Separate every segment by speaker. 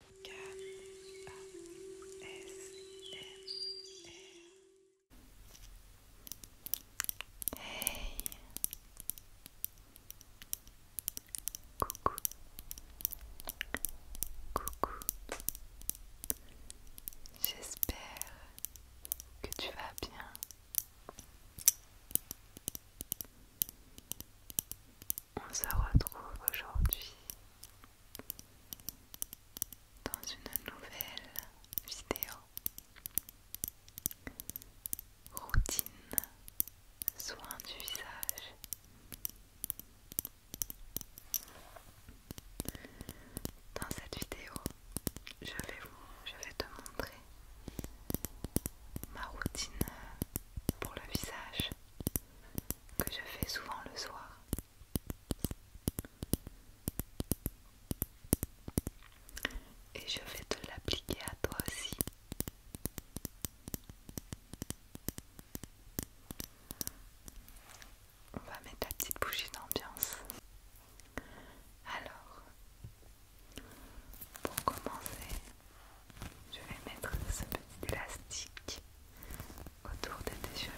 Speaker 1: Hey Coucou Coucou J'espère que tu vas bien on se retrouve aujourd'hui dans une nouvelle vidéo routine soin du visage. Dans cette vidéo, je vais vous, je vais te montrer ma routine pour le visage que je fais souvent le soir. Et je vais te l'appliquer à toi aussi. On va mettre la petite bougie d'ambiance. Alors, pour commencer, je vais mettre ce petit élastique autour de tes cheveux,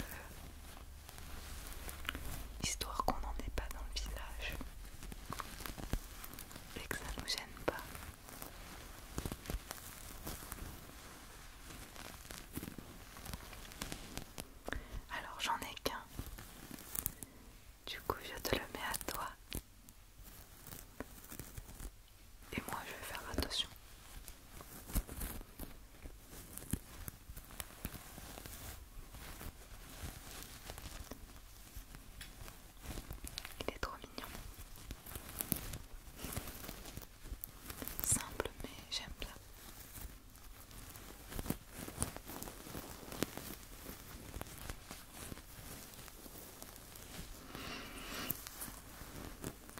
Speaker 1: histoire qu'on n'en ait pas dans le visage et que ça ne nous gêne pas. Alors j'en ai qu'un. Du coup, je te le mets à toi. Et moi, je vais faire attention. Il est trop mignon. Simple, mais j'aime ça.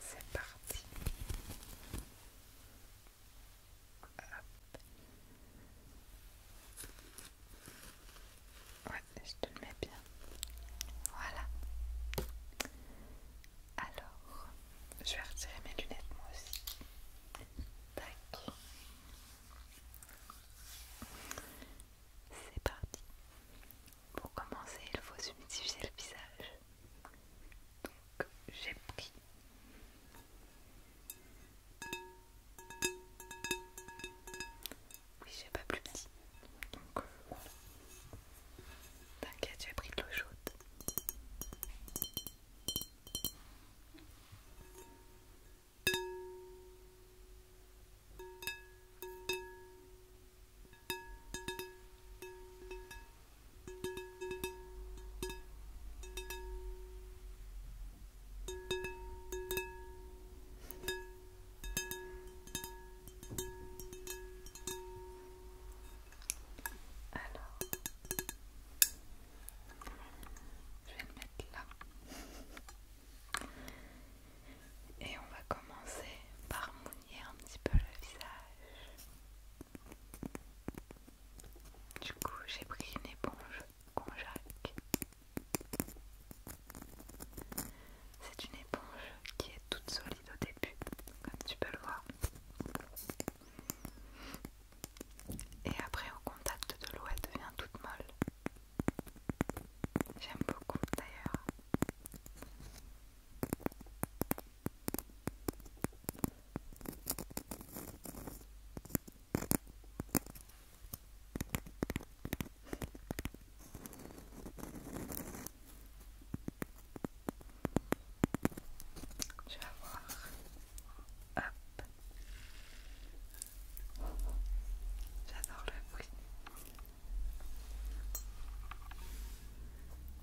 Speaker 1: c'est parti. Ouais, je te le mets bien. Voilà. Alors, je vais retirer mes lunettes moi aussi. Tac. C'est parti. Pour commencer, il faut humidifier le visage. Donc, j'ai pris oui, j'ai pas plus petit. Donc, voilà. T'inquiète, j'ai pris de l'eau chaude. Alors, je vais le mettre là. Et on va commencer par mouiller un petit peu le visage. Du coup, j'ai pris une éponge conjaque C'est une éponge qui est toute solide au début, comme tu peux le voir. Et après, au contact de l'eau, elle devient toute molle. J'aime beaucoup d'ailleurs. Je vais voir. Hop. J'adore le bruit.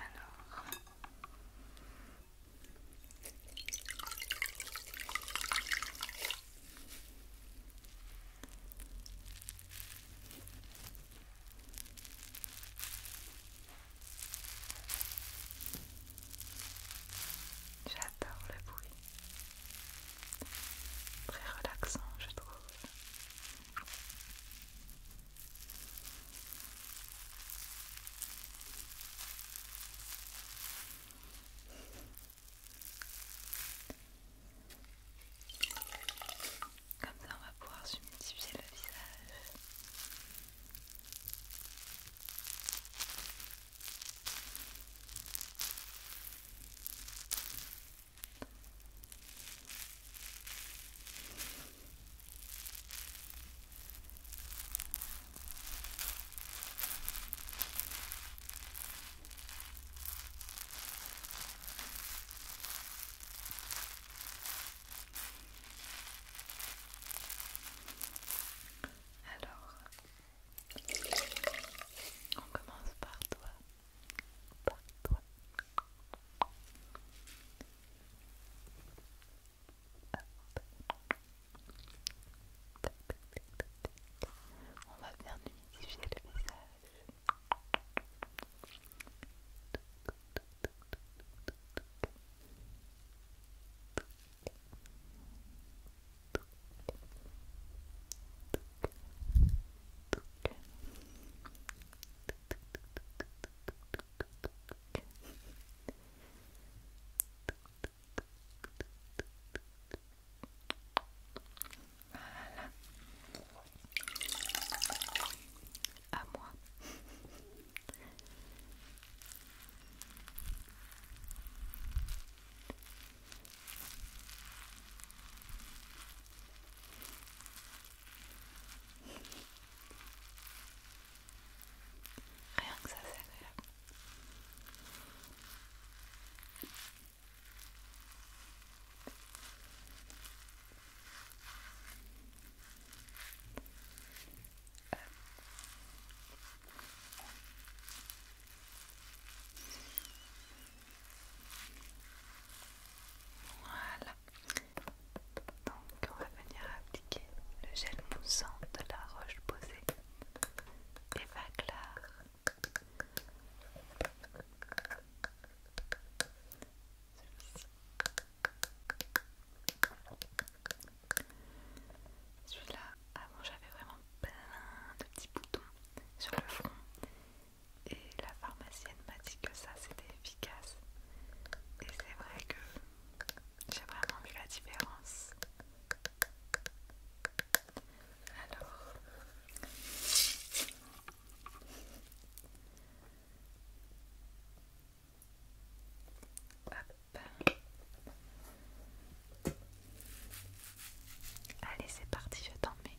Speaker 1: alors. J'adore le bruit. Très relaxant, je trouve. Comme ça, on va pouvoir submultiplier le visage. Alors, on commence par toi. On va venir humidifier le visage. Voilà. À moi. Rien que ça, c'est agréable. Voilà. Donc on va venir appliquer le gel moussant de la roche posée Celui-ci celui-là, avant j'avais vraiment plein de petits boutons sur le front et la pharmacienne m'a dit que ça c'était efficace et c'est vrai que j'ai vraiment vu la différence alors Allez, c'est parti, je t'en mets.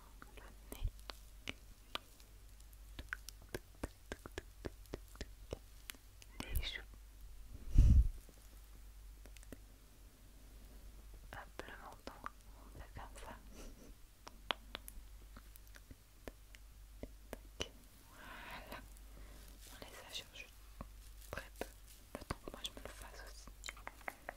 Speaker 1: le nez. Les joues. Hop, le menton, on fait comme ça. Voilà. Ça change très peu. Le temps que moi je me le fasse aussi.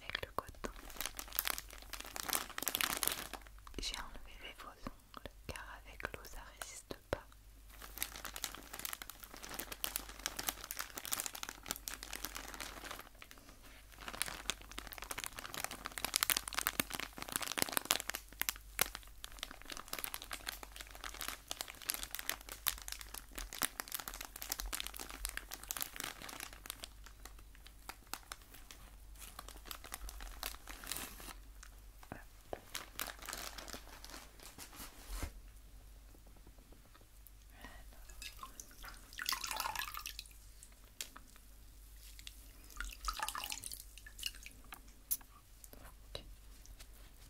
Speaker 1: avec le coton. J'ai enlevé les faux ongles car avec l'eau ça résiste pas. Donc,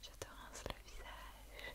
Speaker 1: je te rince le visage.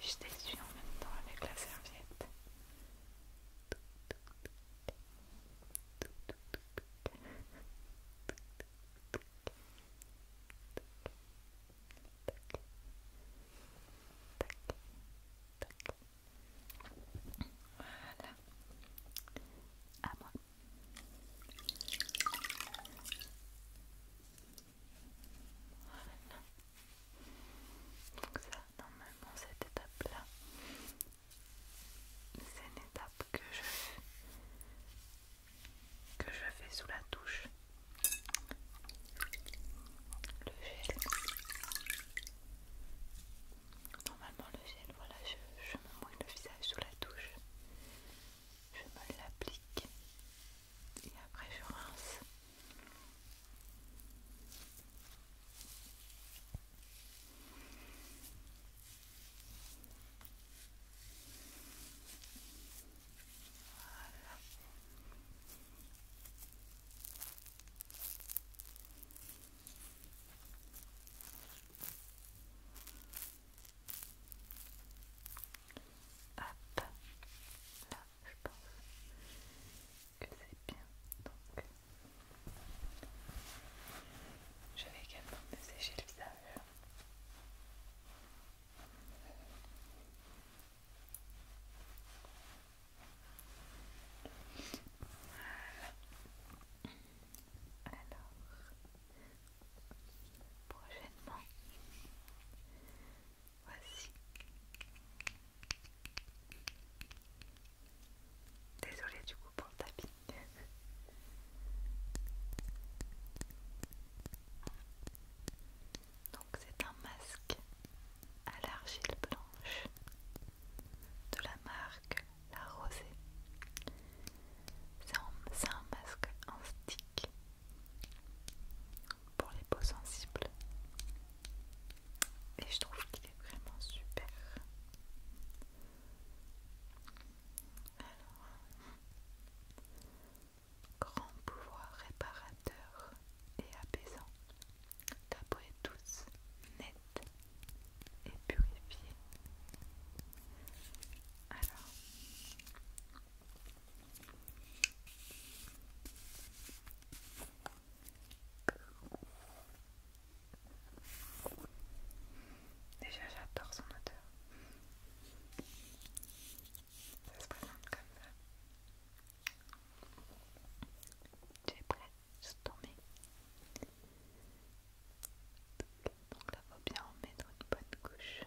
Speaker 1: Je t'essuie en même temps avec la serviette. Voilà. À moi. Voilà. Donc ça, normalement, cette étape-là, c'est une étape que je fais que je fais sous la touche. Le gel. Normalement le gel, voilà, je, je me mouille le visage sous la touche. Je me l'applique et après je rince. Voilà. Hop, là, je pense que c'est bien. Donc, je vais également me sécher le visage. Voilà. Alors, prochainement, Voici. Désolée du coup pour le tapis. Donc c'est un masque à l'argile blanche de la marque La Rosée. C'est un masque en stick pour les peaux sensibles et je trouve qu'il est vraiment super alors grand pouvoir réparateur et apaisant d'après peau est et purifié. alors Déjà j'adore son odeur. Ça se présente comme ça. Tu es prêt, je tomber. Donc là, il faut bien en mettre une bonne couche.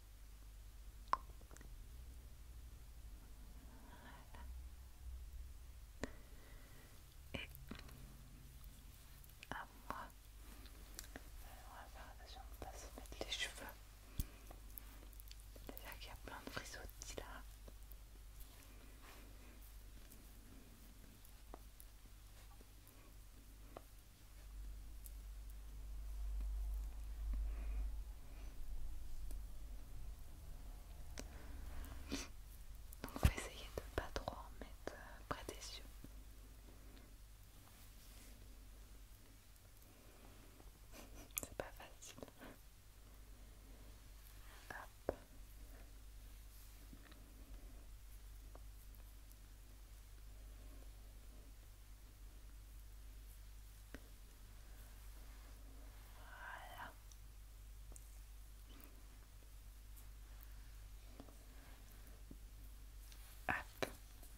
Speaker 1: Voilà. Et à moi. on va faire attention de ne pas se mettre les cheveux. cest Déjà qu'il y a plein de frisottis là. Donc on va essayer de pas trop en mettre euh, près des yeux. C'est pas facile. Hop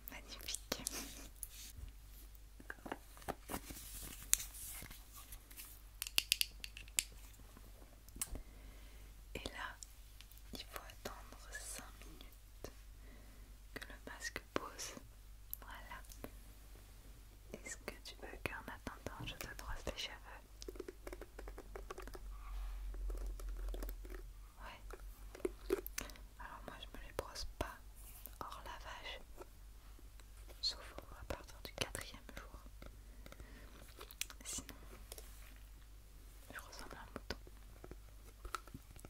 Speaker 1: magnifique. Et là, il faut attendre cinq minutes que le masque pause. Voilà. Est-ce que tu veux qu'en attendant je te brosse les cheveux Ouais. Alors moi je me les brosse pas hors lavage. Sauf à partir du quatrième jour. Sinon, je ressemble à un mouton.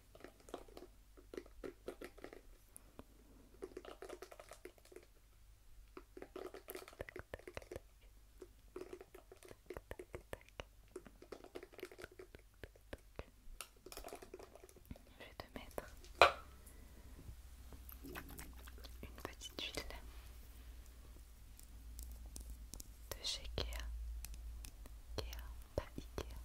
Speaker 1: Je vais te mettre une petite huile de chez Kea. Kea, pas Ikea.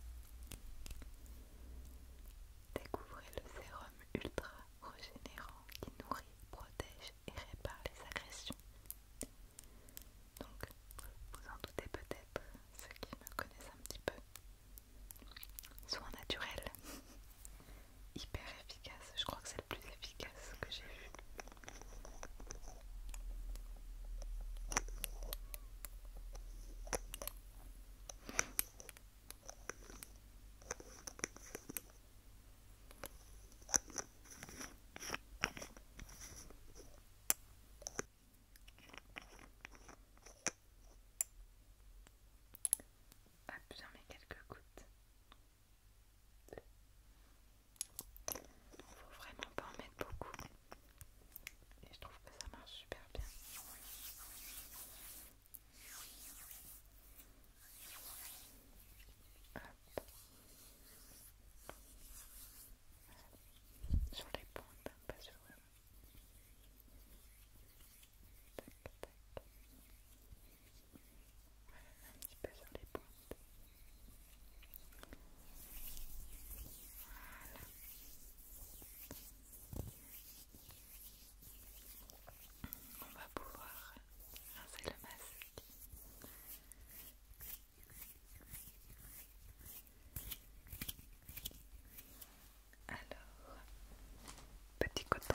Speaker 1: Découvrez le sérum ultra régénérant qui nourrit, protège et répare les agressions. Donc, vous en doutez peut-être, ceux qui me connaissent un petit peu. Soin naturel, hyper efficace, je crois que c'est le plus efficace que j'ai vu bien mets quelques gouttes. Faut vraiment pas en mettre beaucoup. Et je trouve que ça marche super bien. Sur les pointes, hein, pas sur eux. Tac, Voilà, un petit peu sur les pointes. Voilà. On va pouvoir rincer le masque. Alors, petit coton.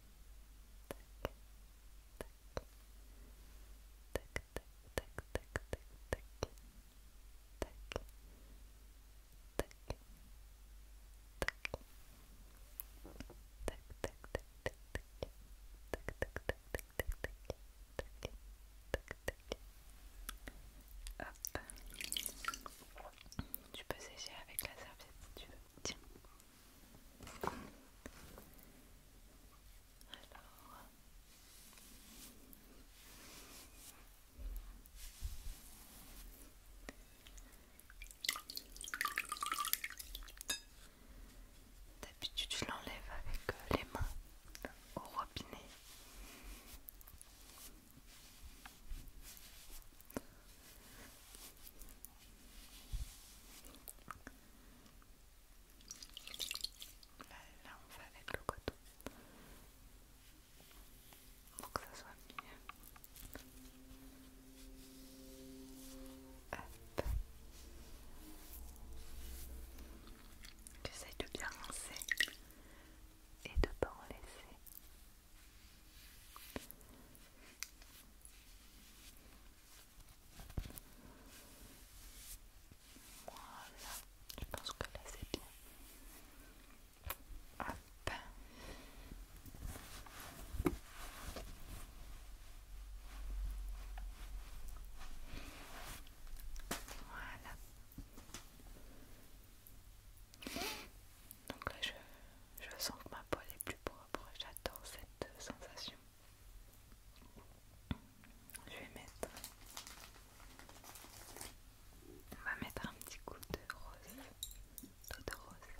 Speaker 1: tac, tac, tac, tac, tac, tac, tac, Tu peux sécher avec la serviette si tu veux. D'habitude, je l'enlève avec euh, les mains au robinet. Là, on fait avec le coton pour que ça soit bien Hop. de bien lancer et de pas en laisser. Voilà, je pense que là c'est bien. Hop. Voilà. Donc là, je, sens que ma peau est plus propre. J'adore cette euh, sensation. Je vais mettre. On va mettre un petit coup de rose, d'eau de rose.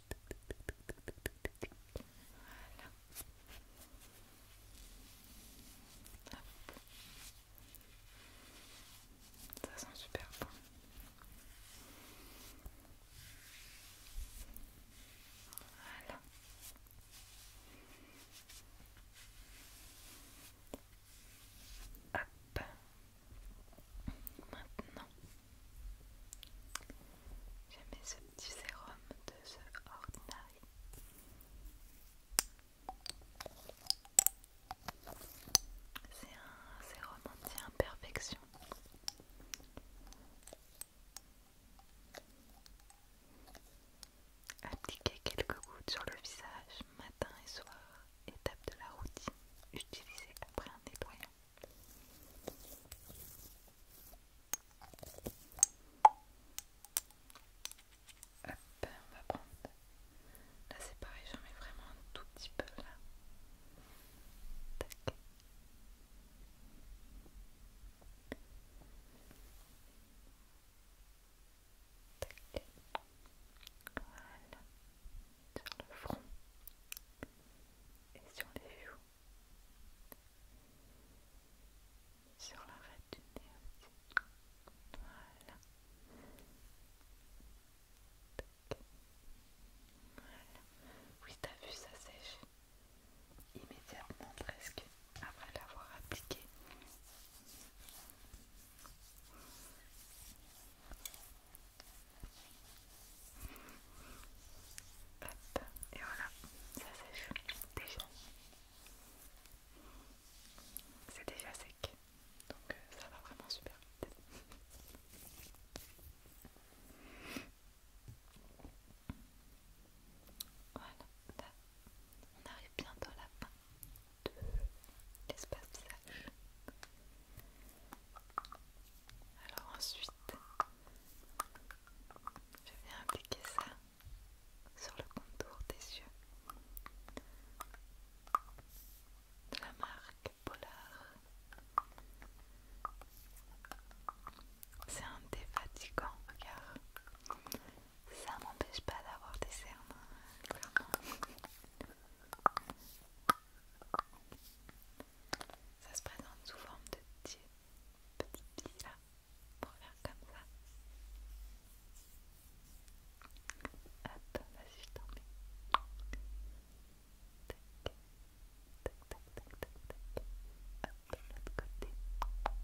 Speaker 1: Voilà. Ça sent super bon. Voilà. Hop. Maintenant, J'aimais ce petit sérum de The Ordinary. C'est un sérum anti-imperfection. Appliquer quelques gouttes sur le visage matin et soir, étape de la routine. Utilisez après un nettoyant Hop, on va prendre. Là c'est pareil, j'en mets vraiment un tout petit peu là. Tac. Tac. Voilà. Sur le front et sur les joues sur l'arrêt du nez Voilà. Voilà. Oui, t'as vu, ça sèche immédiatement presque après l'avoir appliqué et voilà, ça sèche déjà. C'est déjà sec, donc euh, ça va vraiment super vite. Voilà, on arrive bientôt à la fin de l'espace visage. Alors ensuite, je viens appliquer ça sur le contour des yeux de la marque Polar. C'est un défatigant, car Ça m'empêche pas d'avoir des cernes, Ça se présente sous forme de type petite piste là pour faire comme ça. Hop, vas-y, je t'en mets. Tac, tac, tac, tac, tac, tac. Hop, de l'autre côté. Tac,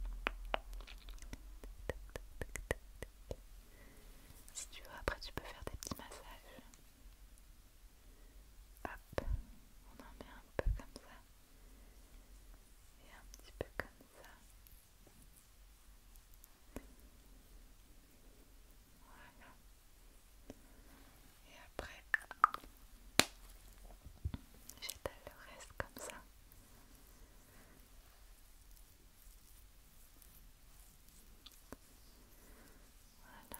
Speaker 1: tac, tac, tac, tac. Si tu veux, après tu peux faire des petits massages. Hop, on en met un peu comme ça et un petit peu comme ça. Voilà. Et après, j'étale le reste comme ça. Voilà.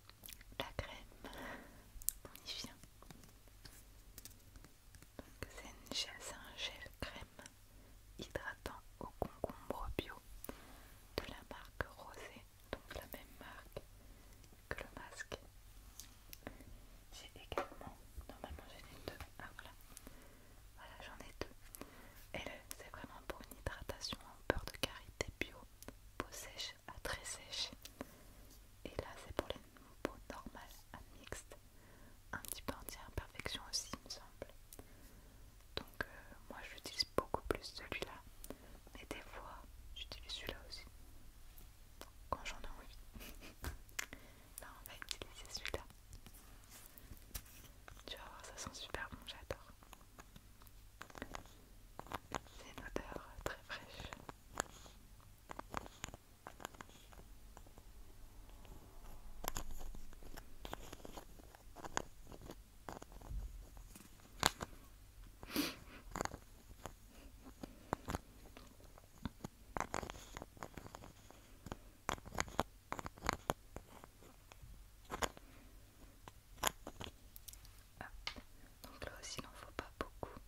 Speaker 1: la crème, on y vient. C'est un gel crème hydratant au concombre bio de la marque Rosé, donc la même marque que le masque. J'ai également, normalement j'en ai deux, ah voilà, voilà j'en ai deux. Et c'est vraiment pour une hydratation en beurre de carité bio, peau sèche à très sèche. Et là, c'est pour les peaux normales à mixte. Un petit peu anti-imperfection aussi, il me semble. Donc, euh, moi, j'utilise beaucoup plus celui-là. Mais des fois, j'utilise celui-là aussi. Quand j'en ai envie. là, on va utiliser celui-là. Tu vas voir, ça sent super bon, j'adore. C'est une odeur très fraîche. Donc là aussi, il n'en faut pas beaucoup.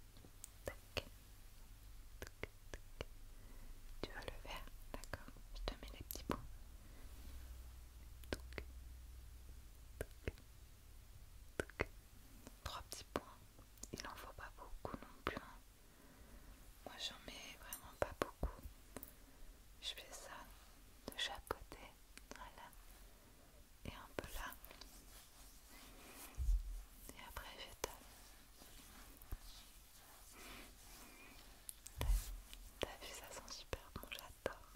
Speaker 1: Tu vas le vert, d'accord Je te mets les petits points. Trois petits points. Il n'en faut pas beaucoup non plus. Hein. Moi, j'en mets vraiment pas beaucoup. Je fais ça de chaque côté. Voilà et un peu là. Et après j'étale. T'as vu, ça sent super bon, j'adore.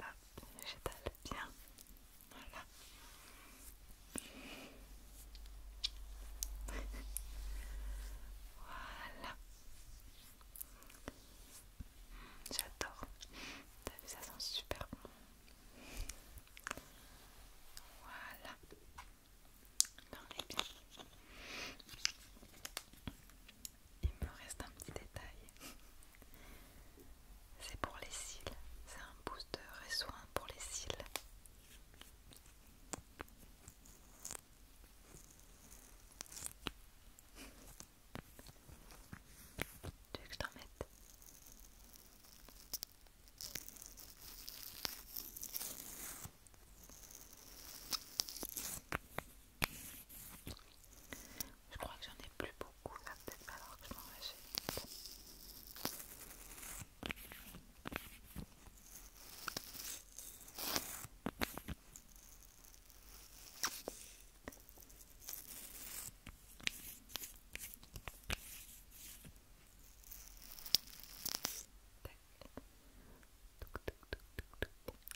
Speaker 1: Hop, j'étale bien. Voilà. voilà. J'adore. T'as vu, ça sent super bon. Voilà. il Il me reste un petit détail. C'est pour les cils. C'est un booster et soin pour les cils. Tu veux je crois que j'en ai plus beaucoup là, peut-être pas alors que je m'en vais.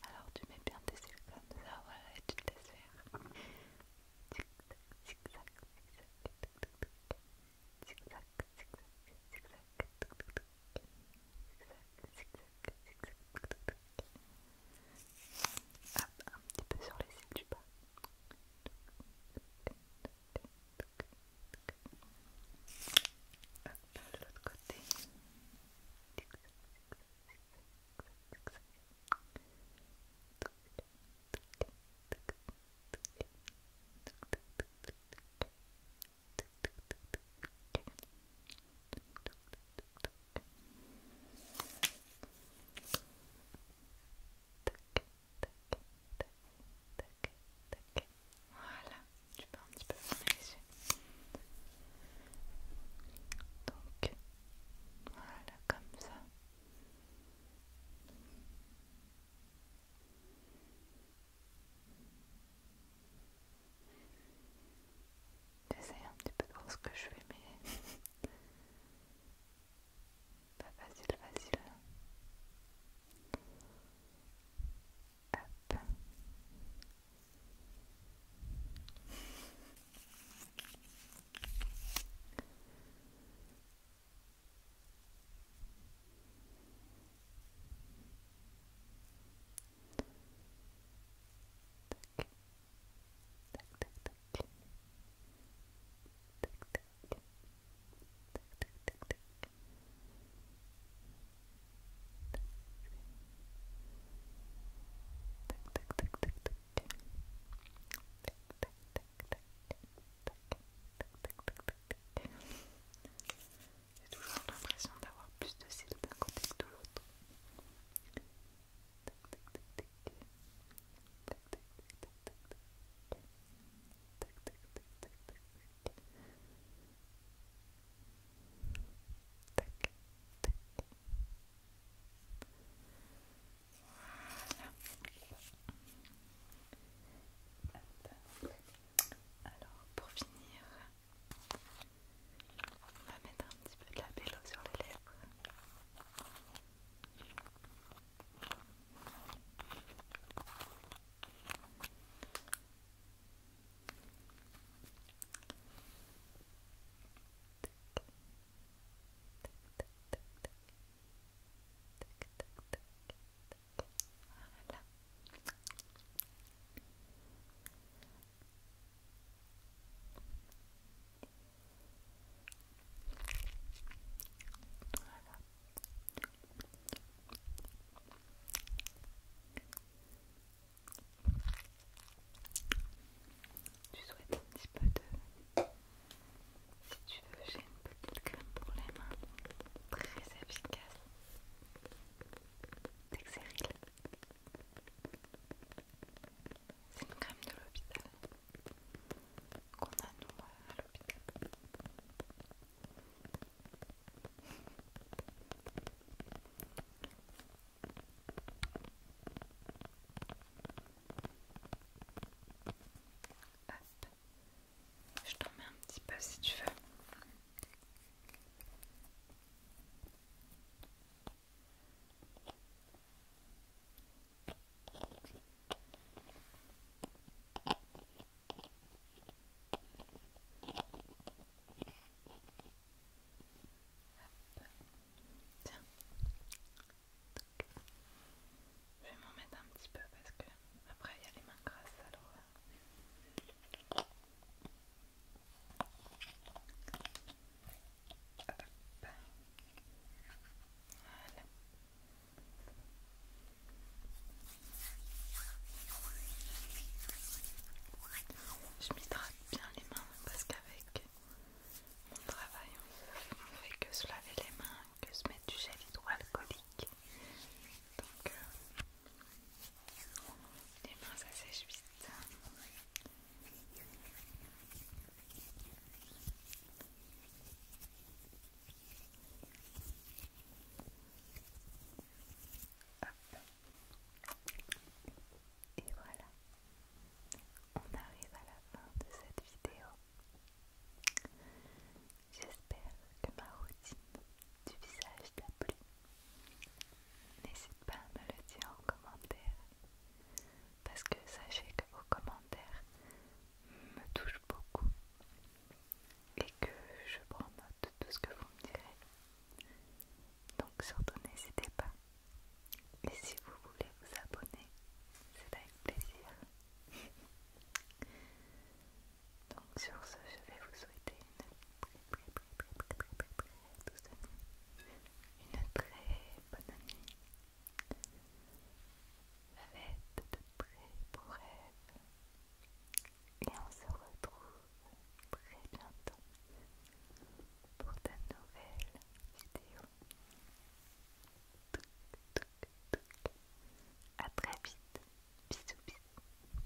Speaker 1: Alors tu mets bien tes sucres, comme ça, voilà, et tu te laisses un petit peu sur les cils du bas. l'autre côté. Voilà, je peux un petit peu fermer Donc, voilà, comme ça. J'essaie un petit peu de voir ce que je fais, mais pas facile, facile. Hein. Tac tac tac. toujours l'impression d'avoir plus de cils d'un côté que de l'autre tac Alors pour finir, on va mettre un petit peu de la bello sur les lèvres. Tu souhaites un petit peu de... Si tu veux, j'ai une petite crème pour les mains, très efficace, c'est une crème de l'hôpital qu'on a nous à l'hôpital. je t'en mets un petit peu si tu veux je vais m'en mettre un petit peu parce que après il y a les mains grasses alors. Euh. Je m'hydrate bien les mains parce qu'avec mon travail on ne fait que se laver les mains, que se mettre du gel hydroalcoolique. Donc euh, les mains ça sèche vite. Et voilà, on arrive à la fin de cette vidéo. J'espère que ma routine du visage t'a plu. N'hésite pas à me le dire en commentaire parce que sachez que vos commentaires me touchent beaucoup et que je prends note de tout ce que vous me direz. Donc surtout n'hésitez pas. Et si vous voulez vous abonner, c'est avec plaisir. Donc sur ce, je vais vous souhaiter une très une très bonne nuit. fête de très pour rêve Et on se retrouve très bientôt pour de nouvelles vidéos. A très vite. Bisous bisous.